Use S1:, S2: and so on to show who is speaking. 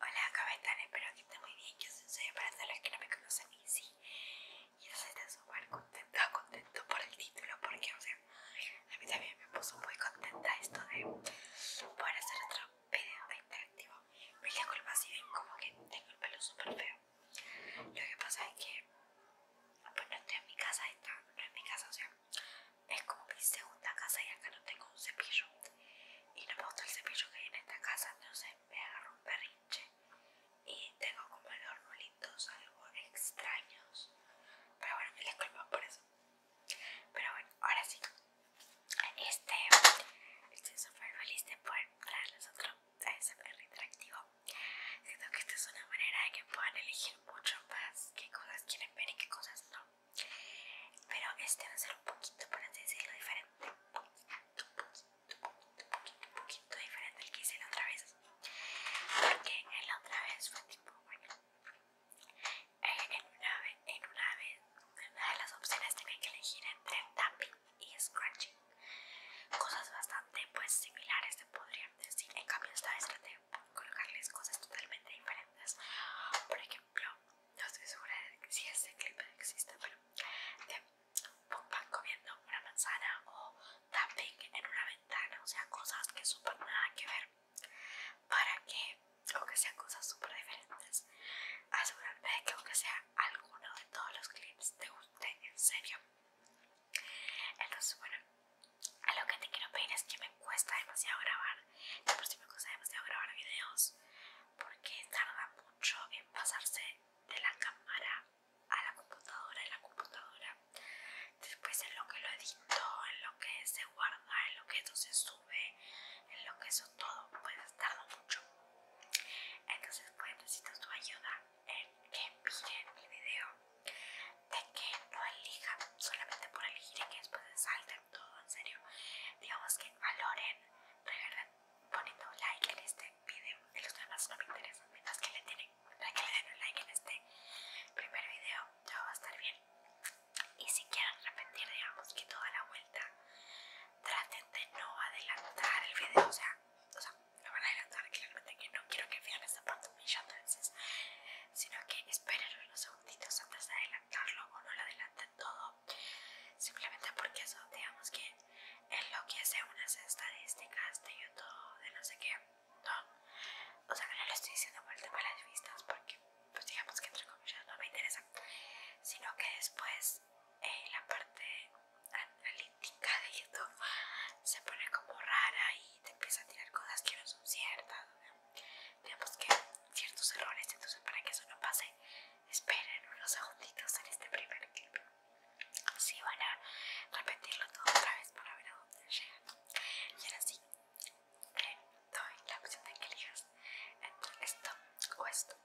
S1: Hola, ¿cómo Espero que estén muy bien. Yo soy para todos los que no me conocen y sí, yo estoy súper contenta, contento por el título, porque, o sea, a mí también me puso muy contenta esto de poder hacer otro video interactivo. Me disculpa así ven como que tengo el pelo súper feo. Lo que pasa es que, pues no estoy en mi casa, esta, no es mi casa, o sea, es como mi segunda casa y acá no tengo un cepillo y no me gusta el cepillo que hay en esta casa entonces me agarro un perrinche y tengo como los bolitos algo extraños pero bueno me disculpo por eso pero bueno ahora sí este este feliz de por traerles otro a ese interactivo Siento que esta es una manera de que puedan elegir mucho más qué cosas quieren ver y qué cosas no. Pero este va a ser un poquito, por así decirlo, diferente. Un poquito, poquito, poquito, poquito diferente al que hice la otra vez. Porque en la otra vez fue tipo, bueno, en una, en una, vez, en una de las opciones tenía que elegir entre tapping y scratching. Cosas bastante pues similares se podrían decir. En cambio esta vez traté de colocarles cosas totalmente diferentes. Por ejemplo, no estoy segura de si este clip existe, pero de pan comiendo una manzana o tapping en una ventana, o sea, cosas que súper nada que ver. Para que, aunque sean cosas súper diferentes, asegurarme de que aunque sea alguno de todos los clips te guste, en serio. Entonces, bueno, a lo que te quiero pedir es que me cuesta demasiado grabar. De por sí me cuesta demasiado grabar videos porque tarda mucho en pasarse de la cámara a la computadora, de la computadora. Después en lo que lo edito, en lo que se guarda, en lo que entonces se en lo que eso todo Pues tardar mucho entonces pues necesito tu ayuda en que miren el video de que no elijan solamente por elegir y que después salten todo en serio digamos que valoren regalen poniendo like en este video de los demás no me interesan mientras que le que le den un like en este primer video ya va a estar bien y si quieren repetir digamos que toda la vuelta traten de no adelantar el video o sea, o no van a adelantar claramente que no quiero que vean esta parte de veces sino que esperen unos segunditos antes de adelantarlo o no lo adelanten todo simplemente porque eso digamos que lo que enloquece unas estadísticas de youtube de no sé qué no, o sea, no lo estoy diciendo por el de las vistas porque, pues digamos que entre comillas no me interesa, sino que después eh, la parte analítica de YouTube se pone como rara y te empieza a tirar cosas que no son ciertas, digamos que ciertos errores, entonces para que eso no pase, esperen unos segunditos en este primer clip. Sí, van a repetirlo todo otra vez para ver a dónde llegan. Y ahora sí, le doy la opción de que elijas esto o esto.